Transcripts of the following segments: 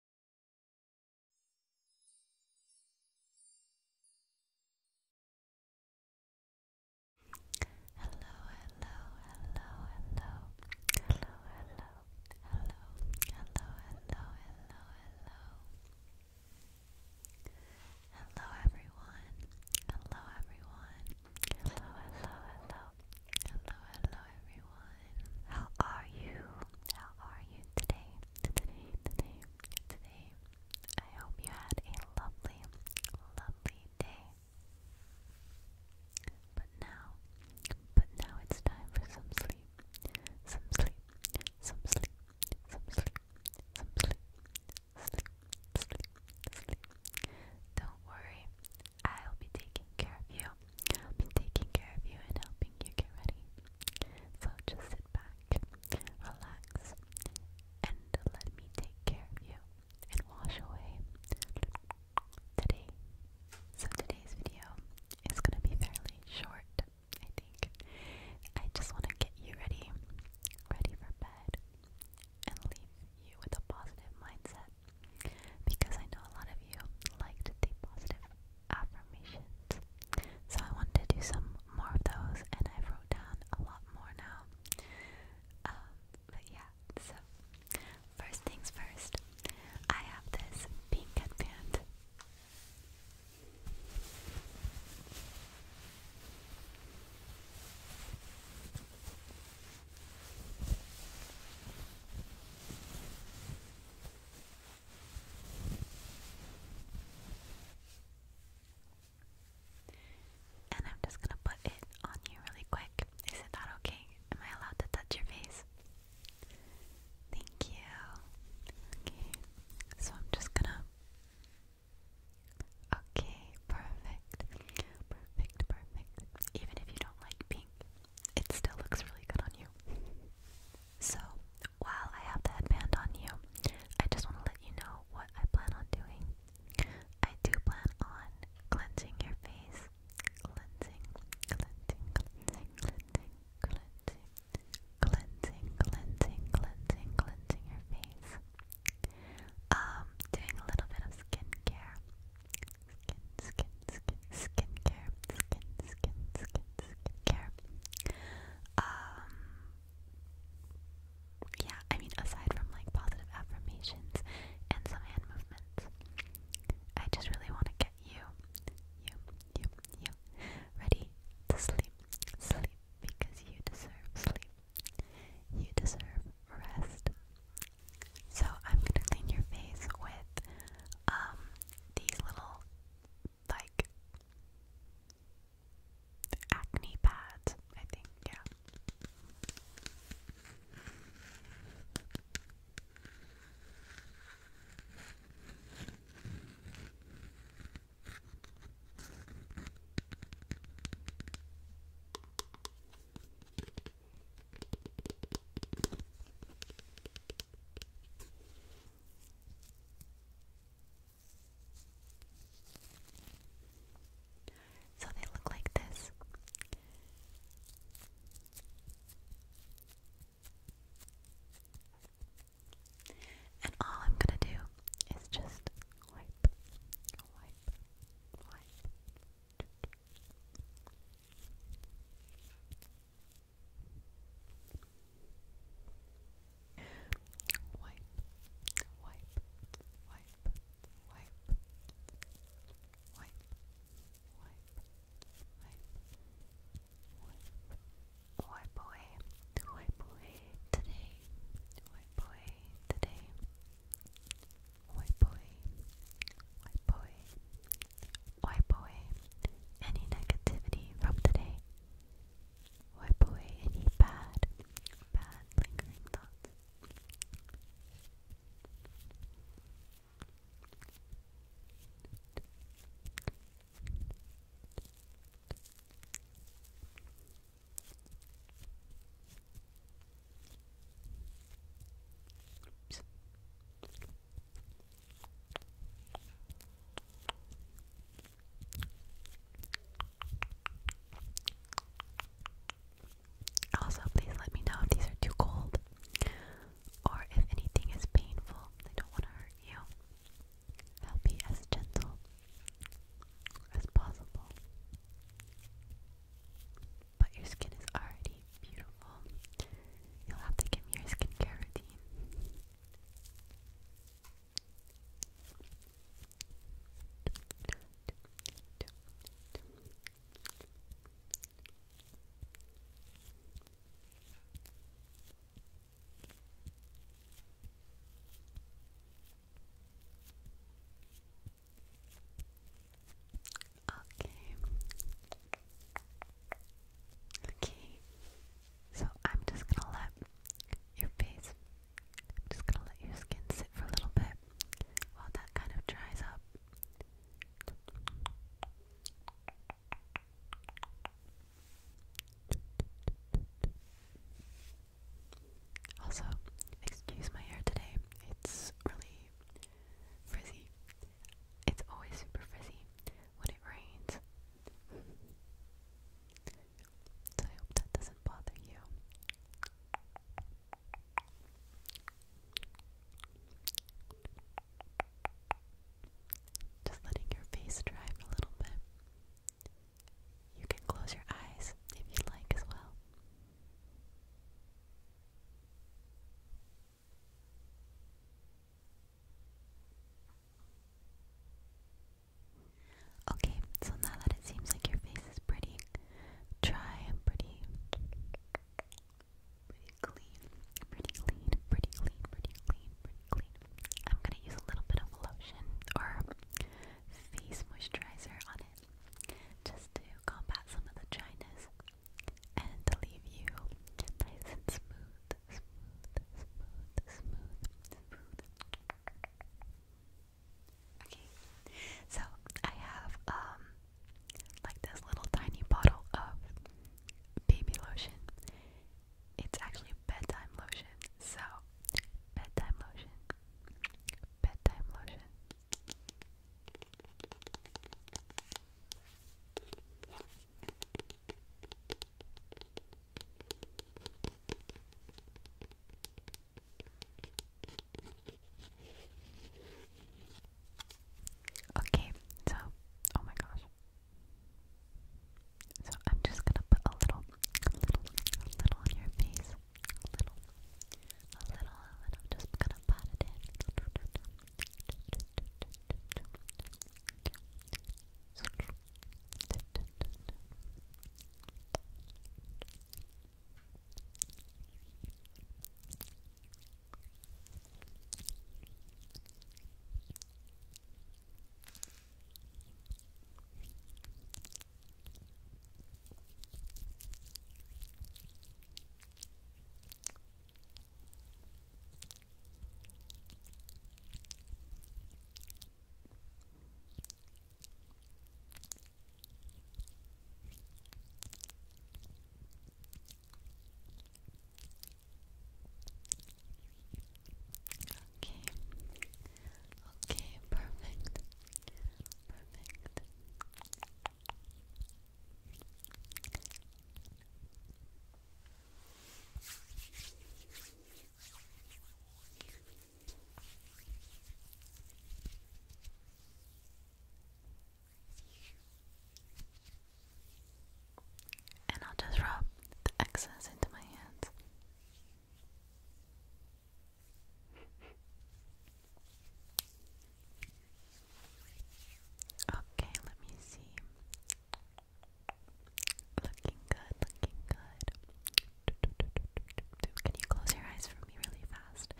Hello, hello, hello, hello, hello, hello, hello, hello, hello, hello, hello. Hello everyone. Hello everyone. Hello, hello, hello. Hello, hello, everyone. How are you? How are you today? Today, today, today. I hope you had a lovely, lovely day. But now, but now it's time for some sleep. Some sleep, some sleep, some sleep, some sleep, sleep, sleep, sleep. Don't worry, I'll be taking care of you. I'll be taking care of you and helping you get ready. So just sit back, relax, and let me take care of you and wash away today. So today's video is gonna be fairly short, I think. I just wanna get you ready, ready for bed, and leave you with a positive mindset because I know a lot of you like to positive affirmations. So I wanted to do some more of those, and I wrote down a lot more now. Um, but yeah, so first things first, I have this pink headband. And I'm just gonna put it on you really quick. Is it not okay? Am I allowed to touch your face? Thank you. Okay, so I'm just gonna. Okay, perfect. Perfect, perfect. Even if you don't like pink, it still looks really good on you. So, while I have the headband on you, I just want to let you know what I plan on doing. I do plan on cleansing your face. Cleansing, cleansing, cleansing, cleansing, cleansing, cleansing, cleansing, cleansing, cleansing your face. Um, doing a little bit of skincare skin, skin, skin care, skin, skin, skin, skin care. Um, yeah, I mean, aside from like positive affirmations and some hand movements, I just really want to get you, you, you, you, ready to sleep, sleep because you deserve sleep. You deserve rest. So I'm gonna clean your face with um these little like acne pads, I think, yeah. So they look like this. And all I'm going to do is just wipe, wipe, wipe, Wipe, wipe, wipe, wipe, wipe, wipe, wipe, wipe away, wipe away today, wipe away today, Oi boy, oi boy, oi boy, any negativity from today? Oi boy, any bad, bad lingering thoughts? Oops. Also, please let me know if these are too cold or if anything is painful. I don't want to hurt you. I'll be as gentle as possible but your skin is already beautiful. You'll have to give me your skincare routine. Okay. Okay. So I'm just gonna let your face, I'm just gonna let your skin sit for a little bit while that kind of dries up. Also, excuse my hair today. It's really frizzy. It's always super frizzy when it rains. So I hope that doesn't bother you. Just letting your face dry a little bit. You can close your eyes if you like as well. Okay, so now that it seems like your face is pretty dry and pretty pretty clean, pretty clean, pretty clean, pretty clean, pretty clean. I'm gonna use a little bit of lotion or face moisturizer on it just to combat some of the dryness and to leave you nice and smooth, smooth, smooth, smooth, smooth. Okay, so I have um like this little tiny bottle of baby lotion. It's actually bedtime lotion, so bedtime lotion, bedtime lotion. Okay, so oh my gosh. So I'm just gonna put a little, a little, a little on your face a little, a little, a little, just gonna pat it Okay. Okay, perfect. Perfect. And I'll just rub the excess into my hands. Okay, let me see. Looking good, looking good. Can you close your eyes for me really fast?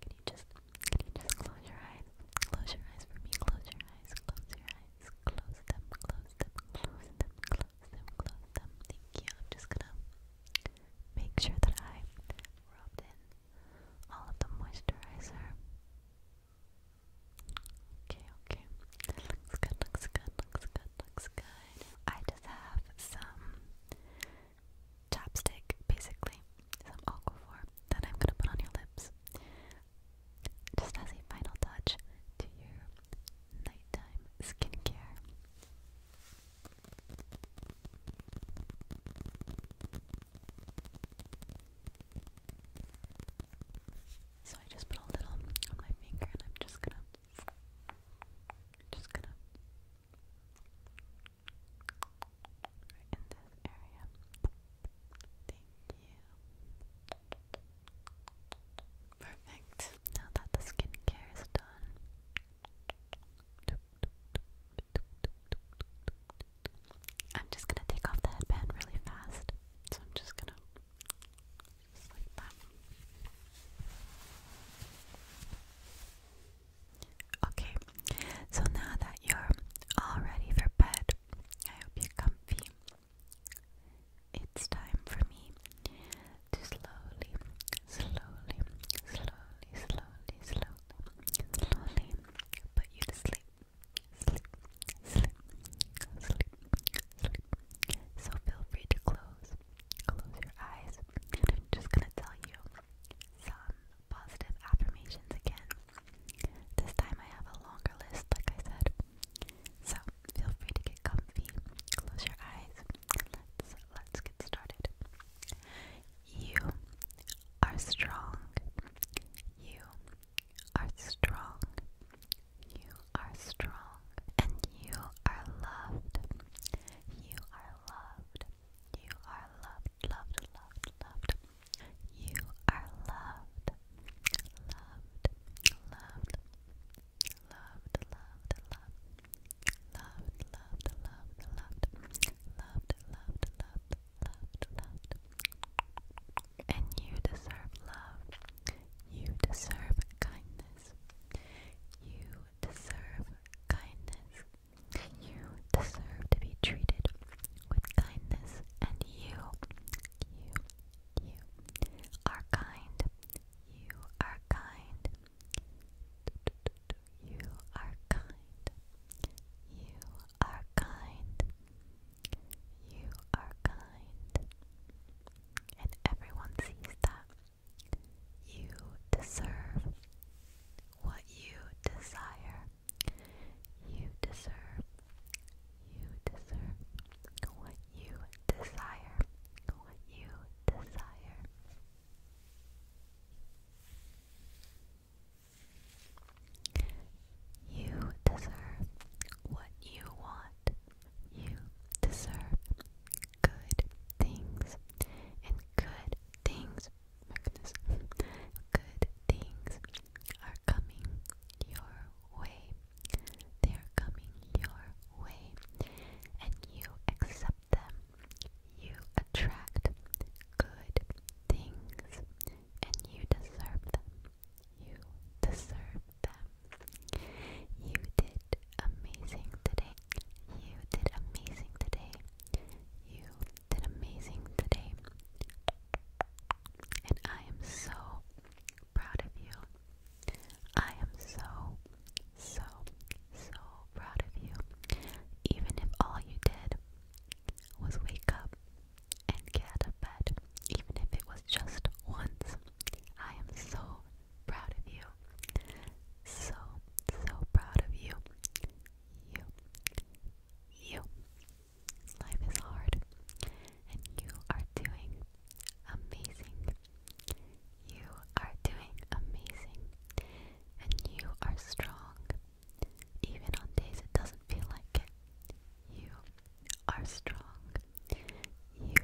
Can you just can you just close your eyes? Close your eyes for me. Close your eyes. Close your eyes. Close them. Close them. Close them. Close so close them. Thank you. I'm just gonna make sure that I rubbed in all of the moisturizer. Okay, okay. Looks good, looks good, looks good, looks good. I just have some chapstick, basically, some aquaphor that I'm gonna put on your lips. Just as a final touch to your nighttime skincare. So I just put a little on my finger and I'm just gonna just gonna right in this area. Thank you. Perfect. Now that the skincare is done, I'm just gonna take off the headband really fast. So I'm just gonna like that. Okay, so now that you're all ready for bed, I hope you're comfy it's time for me to slowly, slowly, slowly, slowly, slowly, slowly put you to sleep. Sleep, sleep, sleep, sleep. So feel free to close, close your eyes. I'm just gonna tell you some positive affirmations again. This time I have a longer list, like I said. So feel free to get comfy, close your eyes, let's let's get started. You are strong. You are strong. You are strong. And you are loved. You are loved. You are loved, loved, loved, loved. You are loved. Loved, loved, loved, loved, loved loved, loved, loved, loved, loved, loved, loved, loved, loved. And you deserve love. You deserve kindness. You deserve kindness. You deserve to be treated with kindness, and you, you, you are kind. You are kind. You are kind. You are kind. You are kind. And everyone sees that. You deserve what you desire. You deserve. You deserve what you desire, what you desire. You deserve what you want. You deserve good things. And good things, my goodness, good things are coming your they are coming your way, and you accept them. You attract good things, and you deserve them. You deserve them. You did amazing today. You did amazing today. You did amazing today. And I am so proud of you. I am so, so, so proud of you. Even if all you did was wake up and get out of bed, even if it was just once, I am so proud of you. So, so proud of you. You, you. Life is hard, and you are doing amazing. You are doing amazing and you are strong. Even on days it doesn't feel like it. You are strong. You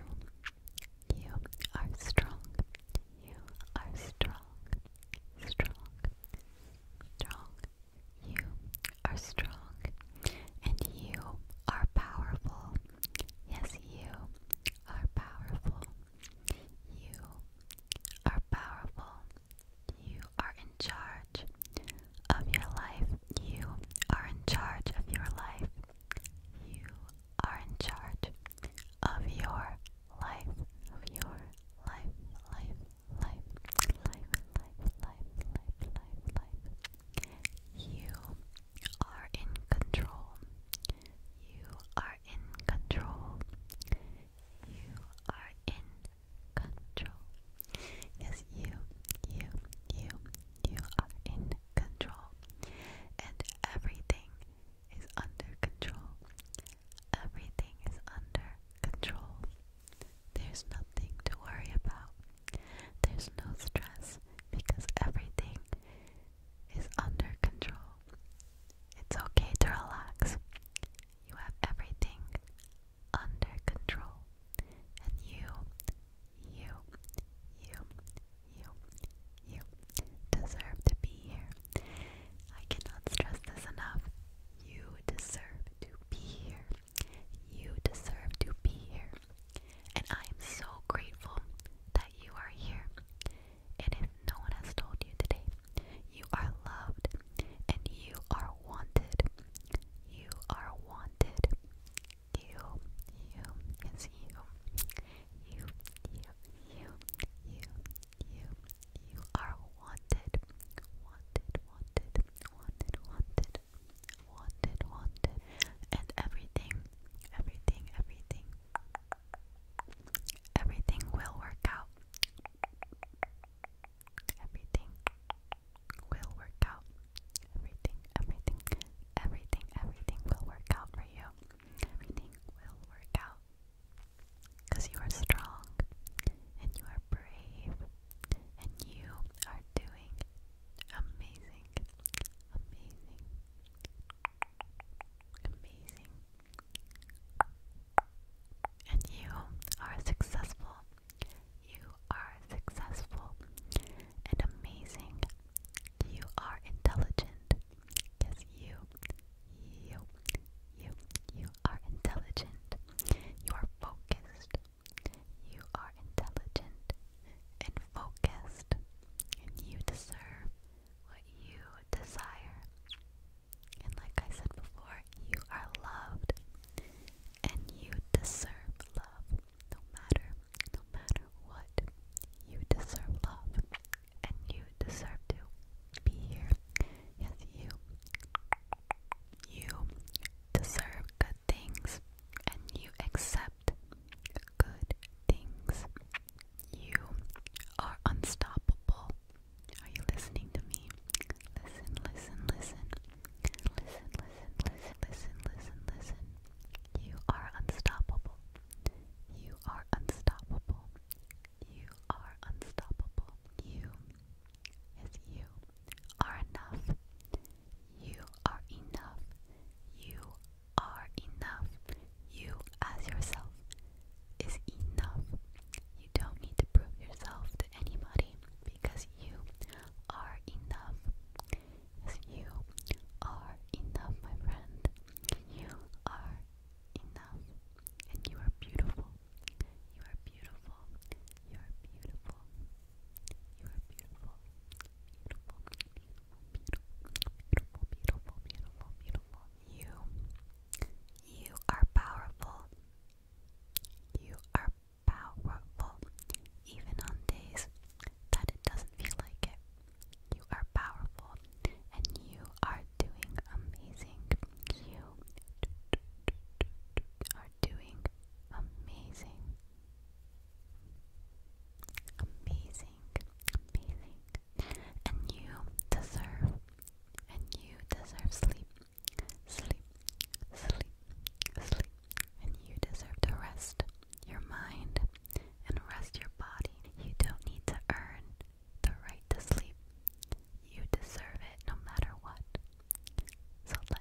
you are strong. You are strong. Strong. Strong. You are strong and you are powerful. Yes, you are powerful. You are powerful. You are in charge of your life. You are in charge of your life. You are in charge of your life. Of your life, life, life, life, life, life, life, life, life. You are in control. You are in control. You are in control. Yes, you, you, you, you are in control. And everything is under control. Everything is under control. There's nothing to worry about. There's no stress because everything is under control. It's okay to relax. You have everything under control. And you, you, you, you, you deserve to be here. I cannot stress this enough. You deserve to be here. You deserve to be here and I am so grateful that you are here. And if no one has told you today, you are loved and you are wanted. You are wanted. You, you, you, you, you, you, you are wanted. Wanted, wanted, wanted, wanted wanted, wanted, and everything, everything, everything, everything will work out. Everything will work out. Everything, everything, everything, everything will work out for you. Everything will work out. Because you are strong and you are brave and you are doing Amazing. Amazing. Amazing. And you are successful. You are successful and amazing. You are intelligent. Yes, you. You. You. You are intelligent. You are focused. You are intelligent and focused, and you deserve what you desire. And like I said before, you are loved, and you deserve love. No matter, no matter what, you deserve love, and you deserve to be here. Yes, you. You deserve good things and you accept good things, you are unstoppable. Are you listening to me? Listen, listen, listen. Listen, listen, listen, listen, listen, listen. You are unstoppable. You are unstoppable. You are unstoppable. You is you are enough. You are enough. You are enough. You as yourself is enough. You don't need to prove yourself to anybody because you are enough. Yes, you are enough, my friend. You are enough. And you are beautiful. You are beautiful. You are beautiful. You are beautiful. Beautiful, beautiful, beautiful, beautiful, beautiful, beautiful. You, you are powerful. You are powerful, even on days that it doesn't feel like it. You are powerful, and you are doing amazing. You are doing amazing. Amazing. Amazing. And you deserve. And you deserve sleep. Sleep. Sleep. Sleep. And you deserve to rest your mind and rest your body. You don't need to earn the right to sleep. You deserve it no matter what. So let